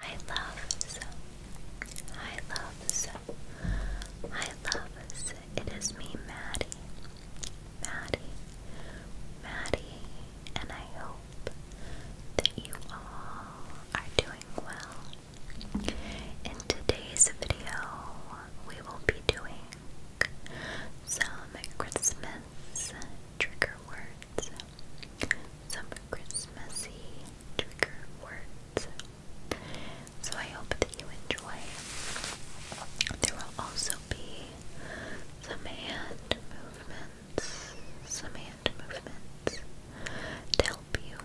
I love so. I love so. I love so. It is me, Maddie. Maddie. Maddie. And I hope that you all are doing well. In today's video, we will be doing some Christmas trigger words. Some Christmassy trigger words. So I hope that you enjoy. There will also be some hand movements, some hand movements to help you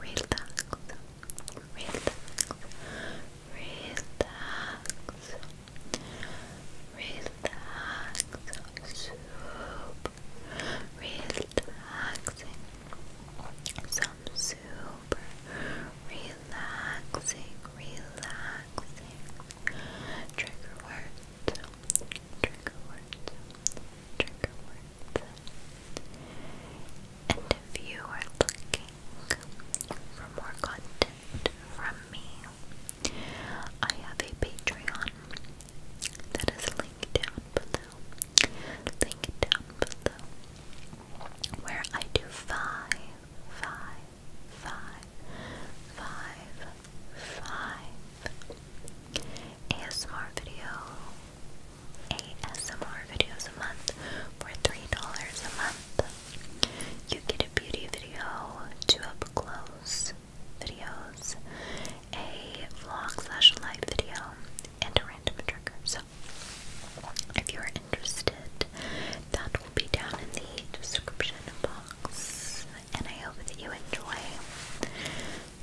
relax, relax, relax, relax, super relaxing. Some super relaxing, relaxing trigger words, trigger words, trigger words. And if you are looking for more content from me, I have a Patreon that is linked down below. Linked down below. Where I do five, five, five, five, five ASMR video. ASMR videos a month for three dollars a month. You get a beauty video, two up close, videos, a vlog slash live video, and a random trigger. So if you're interested, that will be down in the description box. And I hope that you enjoy.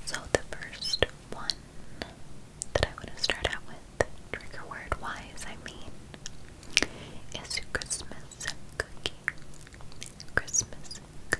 So the first one that I want to start out with, trigger word wise, I mean, is Christmas cookie. Christmas cookie.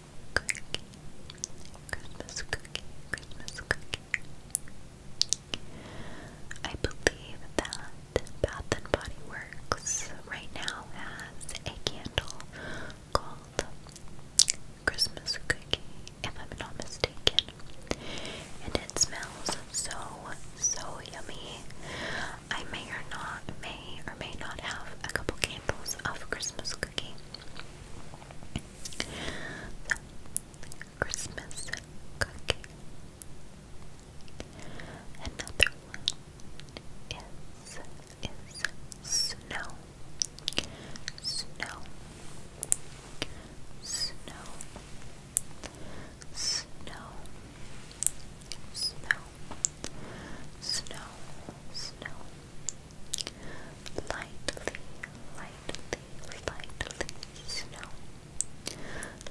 cookie, Christmas cookie, Christmas cookie. I believe that Bath and Body Works right now has a candle called Christmas Cookie, if I'm not mistaken. And it smells so, so yummy. I may or not may or may not have a couple candles of Christmas cookie. So, Christmas cookie. Another is is Snow. Snow. Snow. Snow. Snow. Snow. Lightly, lightly, lightly snow.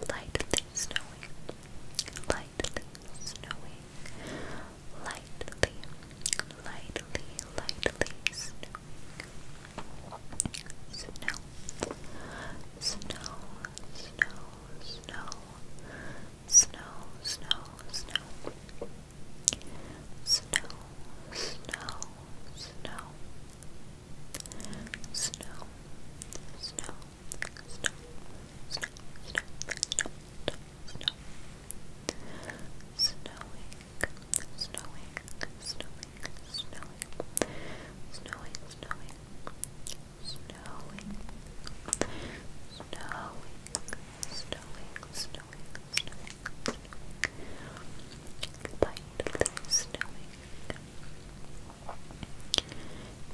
Lightly snowing. Lightly snowing. Lightly, lightly, lightly snowing. Snow. Snow, snow, snow. Snow, snow, snow snow, snow, snow, snow, snow, snow, snow, snow, snow, snow, snow, snowing, snowing, snowing, snowing, snowing, snowing, snowing, snowing, snowing, snowing, snowing, snowing, lightly snowing.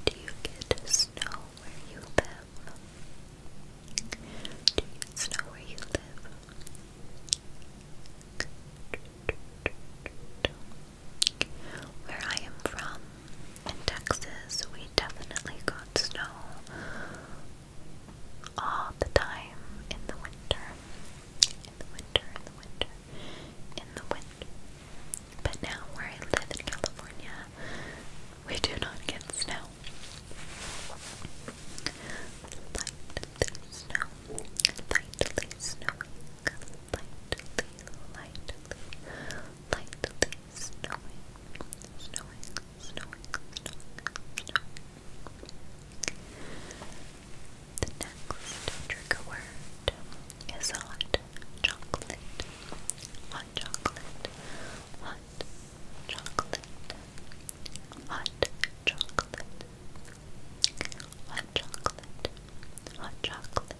Do you get snow where you live? Do you get snow where you live? Where I am from, in Texas, we definitely got snow all the time in the winter. In the winter, in the winter, in the winter. But now where I live in California, we do not get snow. Lightly snowing. Lightly, lightly, lightly snowing. Snowing, snoring, The next trigger word is hot chocolate. Hot chocolate. Hot chocolate. Hot chocolate. Hot chocolate. Hot chocolate. Hot chocolate.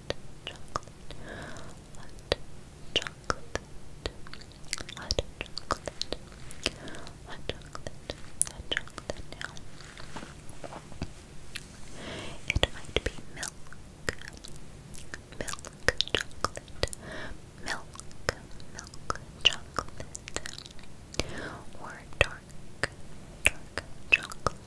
chocolate, hot chocolate, hot chocolate, hot chocolate, hot chocolate It might be milk, milk chocolate, milk, milk chocolate, or dark, dark chocolate.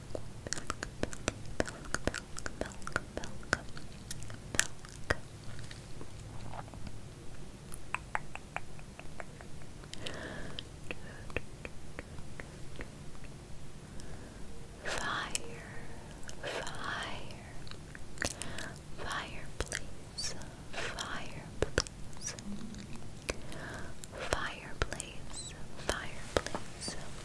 Fire, fire, fireplace, fireplace, fireplace, fireplace,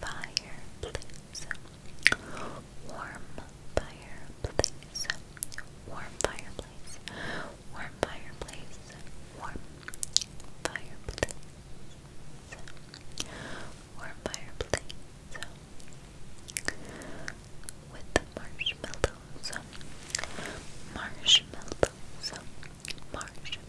fireplace, warm fireplace, warm fireplace, warm fireplace, warm fireplace, warm fireplace, with the marshmallows, marshmallows, marshmallows.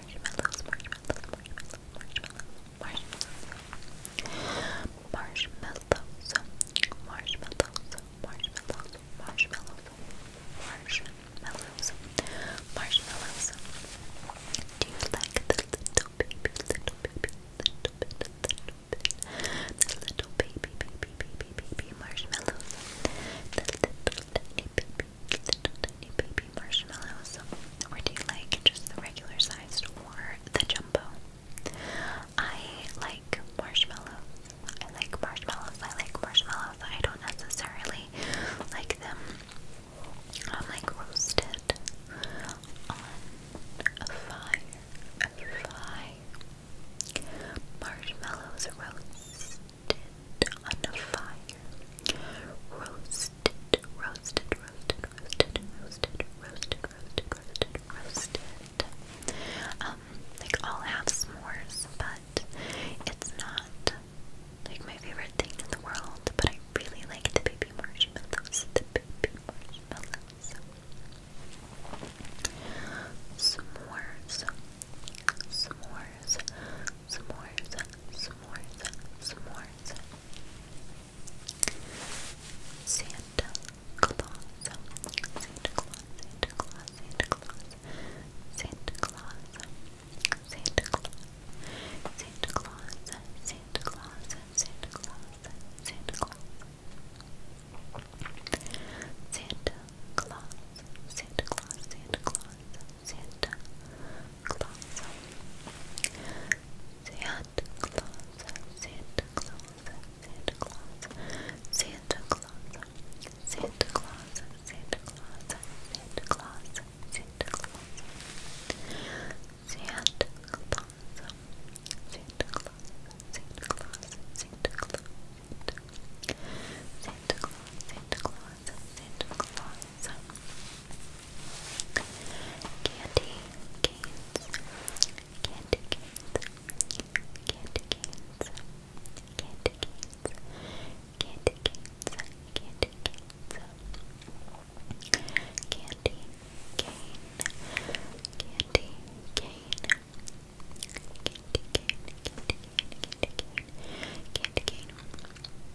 marshmallows, marshmallows, marshmallows, marshmallows, marshmallows, marshmallows, marshmallows, marshmallows, marshmallows, marshmallows. Do you like the little baby, little baby, little bit, little bit, the little baby, baby, baby, baby marshmallows? The little tiny baby little tiny baby marshmallows, or do you like just the regular sized or the jumbo? I like marshmallows. I like marshmallows. I like marshmallows. I don't necessarily like them um, like roasted on a fire. A fire. Marshmallows roast on fire. Roasted, roasted, roasted, roasted, roasted, roasted, roasted, roasted, um, like I'll have s'mores, but it's not like my favorite thing in the world, but I really like the baby marshmallows. The baby marshmallows. S'mores. S'mores s'mores, s'mores, s'mores, s'mores. Santa Claus, Santa Claus, Santa Claus, Santa Claus, Santa Claus, Santa Claus, Santa Claus, Santa Claus, Santa Claus, Santa Claus. Santa Claus, Santa Claus, Santa Claus, Santa closer. Sit closer, sit closer, sit closer, sit closer, sit closer, sit closer, sit closer, sit closer. Sit closer, sit closer, sit closer, sit closer. Sit closer, sit closer, sit closer, Candy canes, candy canes, candy canes, candy canes, candy canes, candy canes, candy cane, candy cane. Candy cane, candy cane, candy cane, candy cane,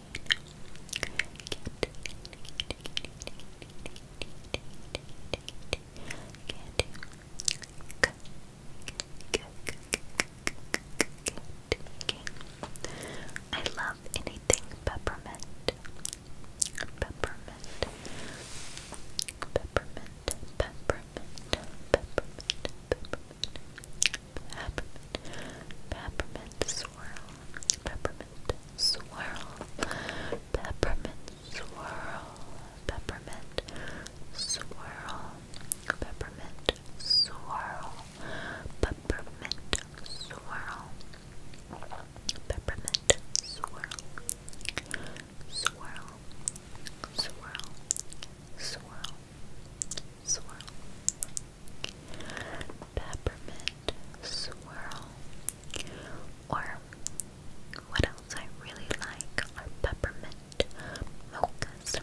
I love anything peppermint. Peppermint. Peppermint. Peppermint. Peppermint. Peppermint. Peppermint. swirl. Peppermint swirl, peppermint swirl, peppermint swirl, peppermint swirl, peppermint swirl, peppermint swirl, swirl, swirl, swirl, swirl peppermint swirl. Or what else I really like are peppermint mochas.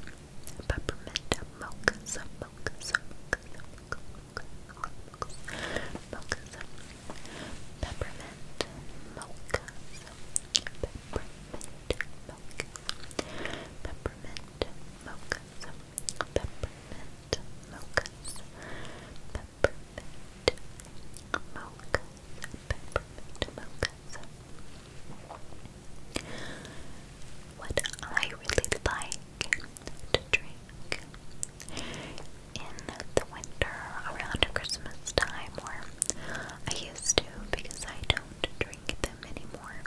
Peppermint mochas, mochas, mochas, mochas, mochas, mochas. Peppermint mochas. Peppermint mochas. Peppermint mochas. Peppermint mochas, peppermint mochas, peppermint mochas. What I really like to drink in the winter around Christmas time, or I used to because I don't drink them anymore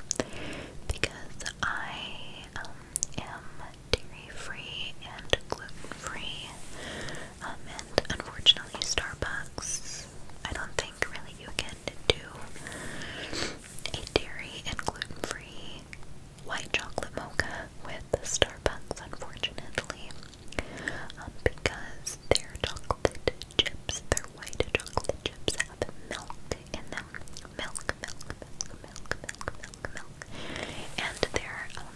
because I um, am dairy-free and gluten-free. Um, and unfortunately, Starbucks, I don't think really you can do a dairy and gluten-free white chocolate mocha with Starbucks, unfortunately, um, because their chocolate chips, their white chocolate chips, have milk in them, milk, milk, milk, milk, milk, milk, milk, and their um,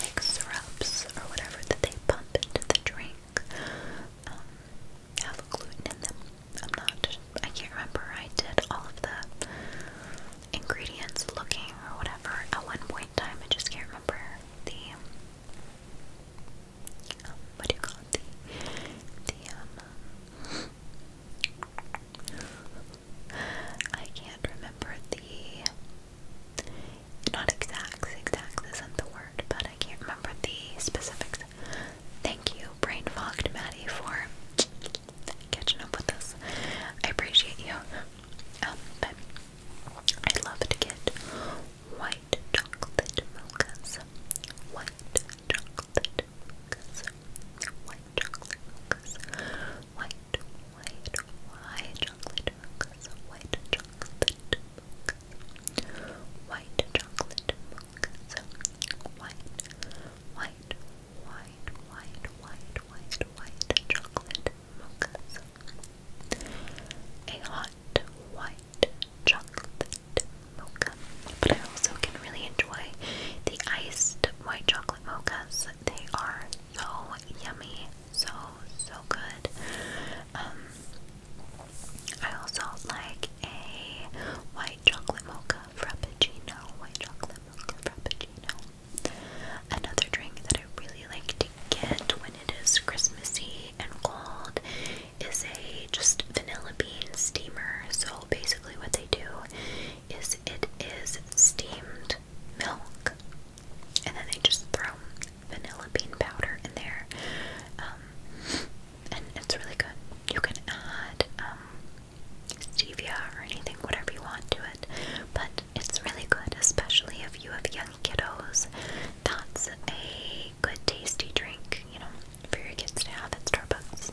like syrups or whatever that they pump into the drink um, have gluten in them. I'm not. I can't remember. I did all of the ingredients looking or whatever at one point in time. I just can't remember the. Um, what do you call The, the um, I can't remember the not exact, exact isn't the word, but I can't remember the specifics. Thank you, brain fogged Maddie, for catching up with us. I appreciate you. Um, but I love to get white chocolate mochas. White white chocolate mochas, white, white, white chocolate mochas, white chocolate mochas, white white, white, white, white, white, chocolate mochas, a hot white chocolate mocha. But I also can really enjoy the iced white chocolate mochas. They are so yummy, so so good. Um, I also like a white chocolate mocha frappuccino. White chocolate mocha frappuccino. Another drink that I really like to get when it is Christmassy and cold is a just vanilla bean steamer. So basically, what they do is it is steamed milk, and then they just throw vanilla bean powder in there, um, and it's really good. You can add um, stevia or anything, whatever you want to it, but it's really good, especially if you have young kiddos. That's a good tasty drink, you know, for your kids to have at Starbucks.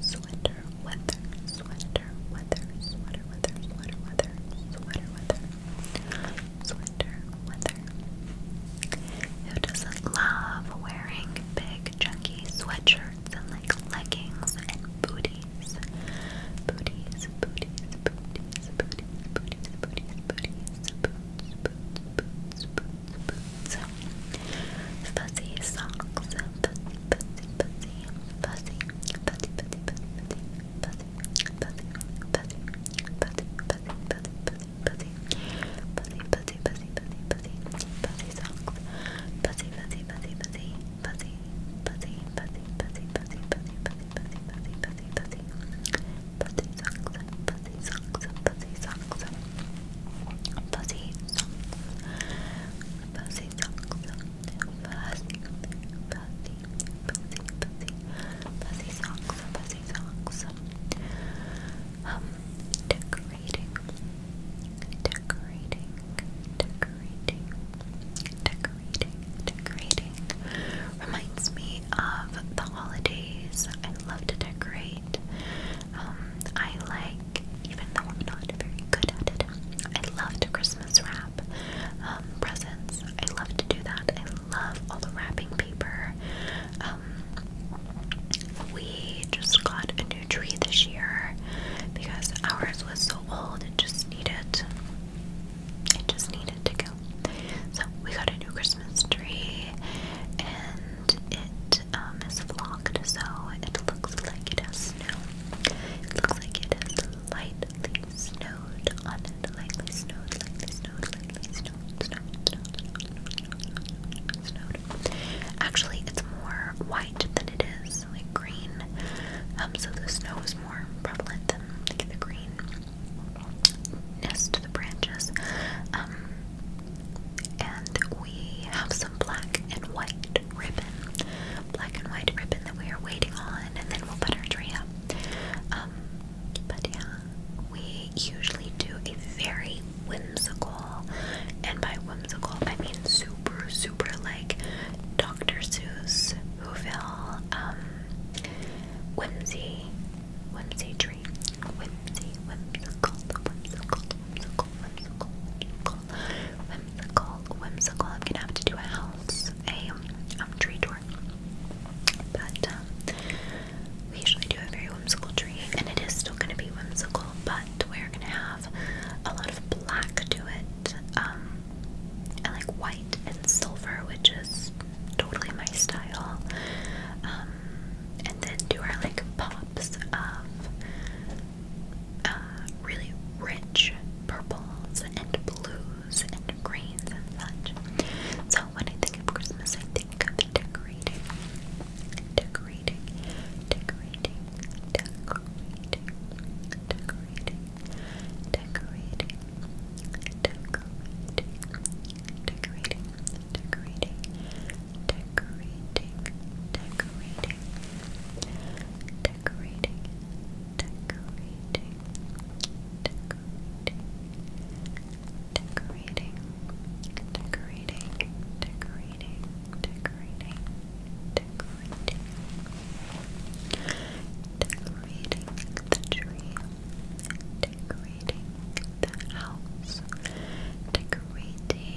Sweater weather, sweater weather, sweater weather, sweater weather, sweater weather, sweater weather. Who doesn't love wearing big chunky sweatshirts and like leggings and booties? Booties, booties, booties, booties, booties, booties, booties, boots, boots, boots, boots, boots, boots, fuzzy socks, fuzzy, fuzzy, fuzzy, fuzzy, fuzzy, fuzzy, fuzzy, fuzzy, fuzzy, fuzzy, fuzzy, fuzzy, fuzzy, fuzzy, fuzzy, fuzzy, fuzzy socks, fuzzy, fuzzy, fuzzy, fuzzy, fuzzy, fuzzy, fuzzy, fuzzy, fuzzy, fuzzy, fuzzy, fuzzy, fuzzy, fuzzy, fuzzy socks, fuzzy socks, fuzzy socks, fuzzy socks, fuzzy socks, fuzzy, fuzzy, fuzzy, fuzzy, socks, fuzzy socks. decorating, decorating, decorating, decorating, decorating. Reminds me of the holidays. I love to decorate. Um, I like, even though I'm not very good at it, I love to Christmas wrap um, presents. I love to do that. I love all the wrapping paper. Um, we just got a new tree this year because ours was so old it just needed it just needed to go. So we got a new Christmas tree and it um, is flocked, so it looks like it has snow. It looks like it has lightly snowed on it. Lightly snowed, lightly snowed, lightly snowed, snowed, snowed, snowed, snowed. Actually, it's more white than it is like green. Um, so the snow is more prevalent than like the greenness to the branches. Um, and we have some black and white ribbon, black and white ribbon that we are waiting on, and then we'll put our tree up. Um, but yeah, we usually do a very whimsical, and by whimsical I mean super, super like Dr. Seuss, Whoville, um, whimsy, whimsy tree, whimsy, whimsical, whimsical, whimsical, whimsical, whimsical, whimsical, I'm gonna have to do a house, a um, um tree tour. But um, we usually do a very whimsical tree, and it is still gonna be whimsical, but we're gonna have a lot of black to it, um, and like white and silver, which is totally my style. Um, and then do our like pops of uh, really rich purples and blues and greens and such. So when I think of Christmas, I think of decorating, decorating, decorating, decorating, decorating, decorating, decorating, decorating, decorating, decorating, decorating, decorating, decorating, decorating, decorating, decorating, decorating, decorating, decorating, decorating the tree, decorating the house, decorating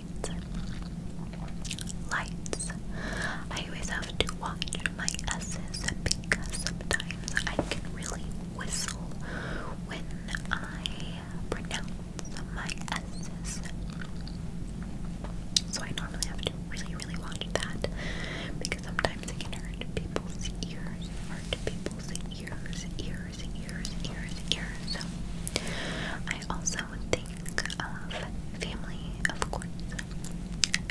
lights. Lights. I always have to watch my S's because sometimes I can really whistle when I pronounce my S's. So I normally have to really, really watch that because sometimes it can hurt people's ears, hurt people's ears, ears, ears, ears, ears. So I also think of family, of course. Family,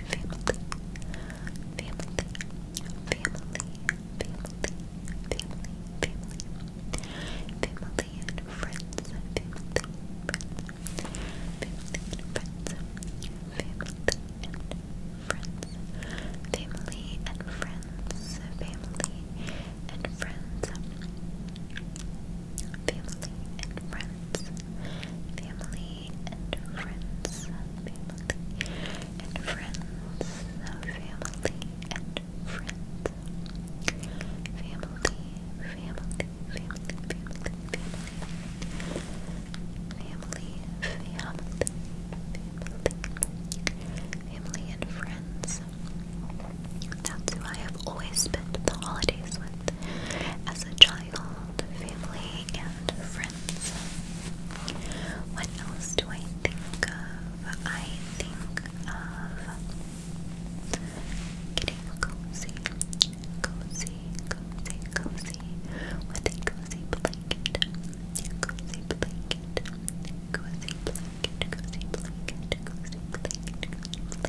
family, family, family, family, family, family family, and friends, family friends, family friends, family and friends. Family and friends, family and friends, family and friends, family and friends, family and friends, family and friends, family, family, family, family, family, family, family, family and friends. That's who I have always spent the holidays with as a child, family, and friends. What else do I think of? I think of getting cozy, cozy, cozy, cozy with a cozy blanket, cozy blanket, cozy blanket, cozy blanket, cozy blanket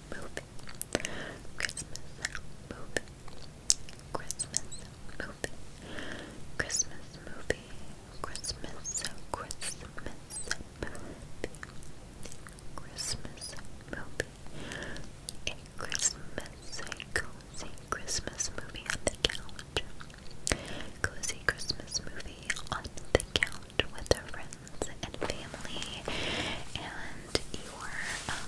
movie. Christmas movie. Christmas movie. Christmas movie. Christmas Christmas movie. Christmas movie. A Christmas a cozy Christmas movie on the couch. Cozy Christmas movie on the couch with their friends and family, and your um,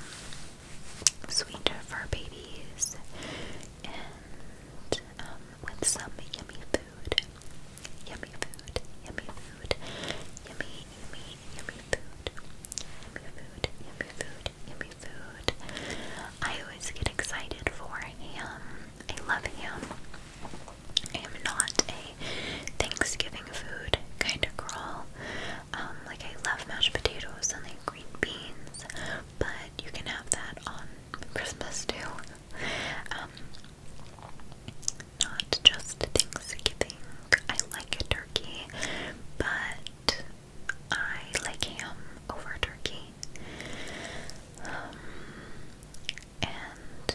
sweet fur babies, and um, with some yummy food, yummy food, yummy food, yummy, yummy, yummy food, yummy food, yummy food, yummy food. I always get excited for him. I love him. I am not Thanksgiving food kind of girl. Um, like I love mashed potatoes and like green beans, but you can have that on Christmas too. Um, not just Thanksgiving. I like turkey, but I like ham over turkey. Um, and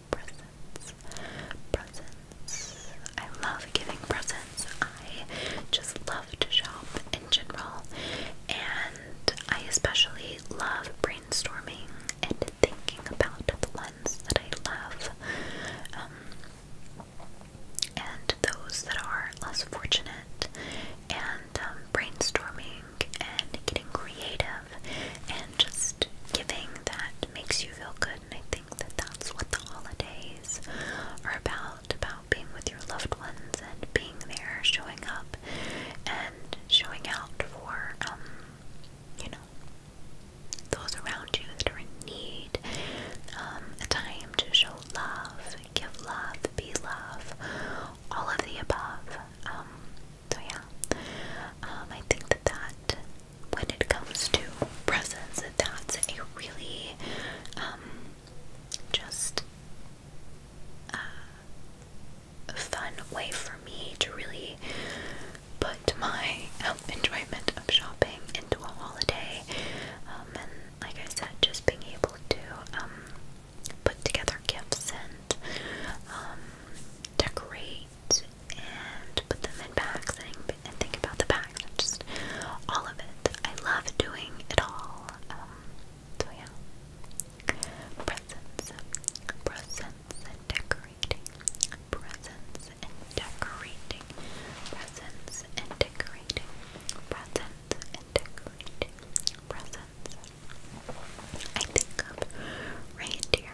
presents, presents. I love giving presents. I just love to shop in general, and I especially love brainstorming and thinking about the ones that I love, um, and those that are less fortunate, and um, brainstorming and getting creative and just giving that makes you feel good I think that that's what the holidays are about about being with your loved ones and being there, showing up, and showing out for, um, you know, those around you that are in need. Um, a time to show love, give love, be love, all of the above. Um, so yeah, um, I think that that when it comes to presents, that's a really um, just uh, fun way for me to really put my um, enjoyment of shopping into a holiday. Um, and like I said, just being able to um, put together gifts and um, decorate and put them in packs and, think about the packs just all of it. I love doing it all. Um, yeah, presents, presents and decorating, presents and decorating, presents and decorating, presents and decorating, presents. I think of reindeer,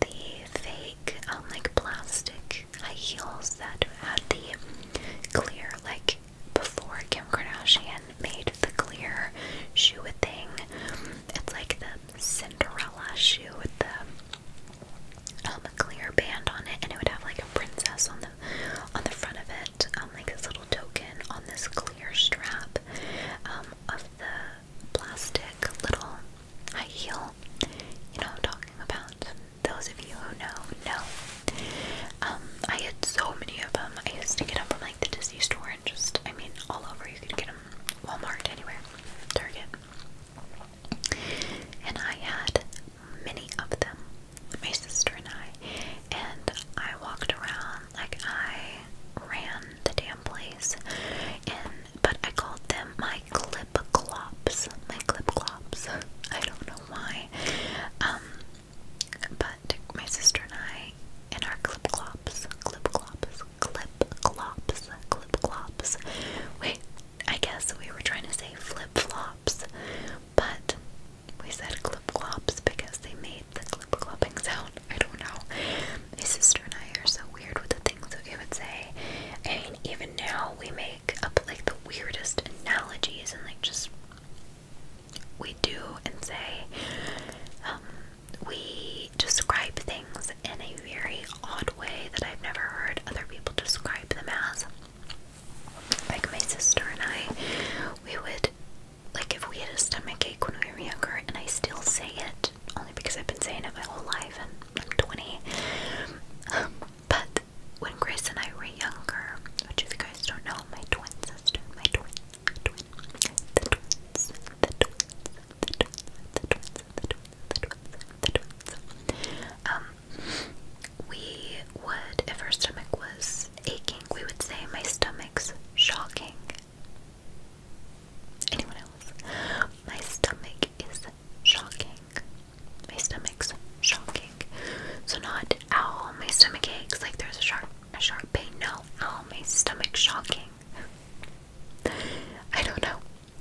the fake um, like plastic high heels that had the clear like before Kim Kardashian made the clear shoe thing. It's like the Cinderella shoe with the um, clear band on it, and it would have like a princess on the on the front of it, um, like this little token on this clear strap of the plastic little high heel. You know I'm talking about. Those of you who know, know. Um, I had so many of them. I used to get them from like the Disney store and just, I mean, all over. You could get them Walmart, anywhere, Target. And I had many of them, my sister and I. And I walked around like I ran the damn place and but I called them my clip clops, my clip clops. I don't know why. Um, but my sister and I and our clip clops, clip clops, clip clops, clip clops. Wait, I guess we were trying to say flip flops, but we said clip clops because they made the clip clopping sound. I don't know. My sister and I are so weird with the things that we would say. and even now we make up like the weirdest analogies and like just we do and say. Um, we describe things in a very odd way that I've never heard other people describe them as. Like my sister and I, we would like if we had a stomach ache when we were younger, and I still say it only because I've been saying it my whole life and I'm 20. but when Grace and I were younger, which if you guys don't know, my twin my twins, the twins, the twins, the twins, the twins, the twins, the twins, the twins. we would, if her stomach was aching, we would say my stomach's shocking Anyone else? My stomach is shocking. My stomach's shocking. So not ow, my stomach aches like there's a sharp a sharp pain. No, ow, my stomach shocking. I don't know.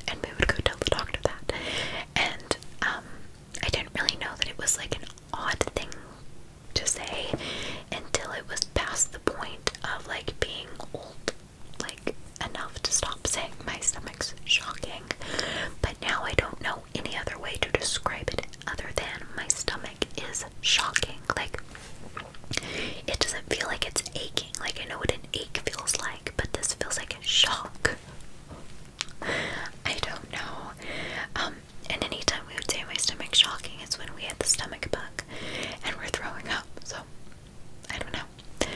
And we would go tell the doctor that. And um I didn't really know that it was like an odd thing to say until it was past the point of like being old like enough to stop saying my stomach's shocking, but now I don't know any other way to describe it other than my stomach is shocking. Like, it doesn't feel like it's aching. Like, I know what an ache feels like, but this feels like a shock. I don't know. Um, and anytime we would say my stomach's shocking, it's when we had the stomach bug and we're throwing up. So I don't know.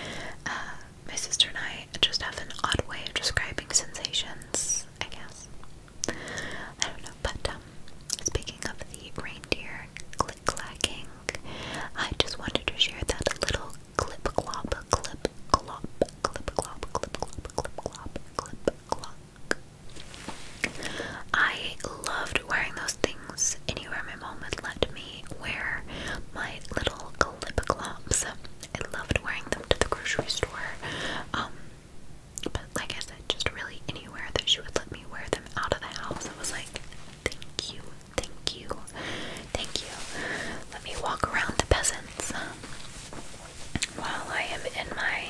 Uh, my sister and I just have an odd way of describing sensations, I guess. I don't know, but um, speaking of the reindeer click clacking, I just wanted to share that little clip clop, clip clop, clip clop, clip clop, clip clop, clip clop. I loved wearing those things anywhere my mom would let me wear my little clip I loved wearing them to the grocery store. Um, but like I said, just really anywhere that she would let me wear them out of the house, I was like, thank you, thank you, thank you. Let me walk around the peasants um, while I am in my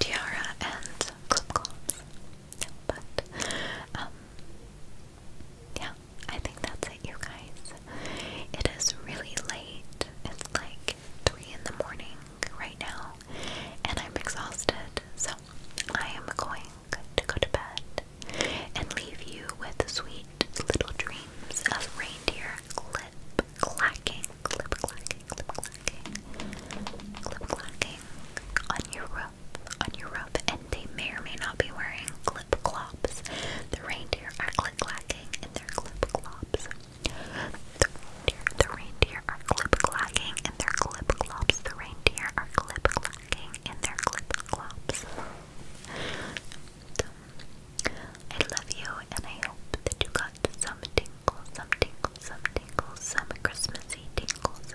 tiara and clip But um, yeah, I think that's it, you guys. It is really late. It's like 3 in the morning right now, and I'm exhausted, so I am going to go to bed and leave you with sweet little dreams of reindeer clip clacking, clip clacking, clip clacking, clip clacking on your roof on your rough and they may or may not be wearing clip clops. The reindeer are click clacking in their clip clops. The reindeer, are clip clacking in their clip clops. The reindeer are clip clacking in their clip clops. I love you and I hope that you got some tingles, some tingles, some tingles, some Christmassy tingles.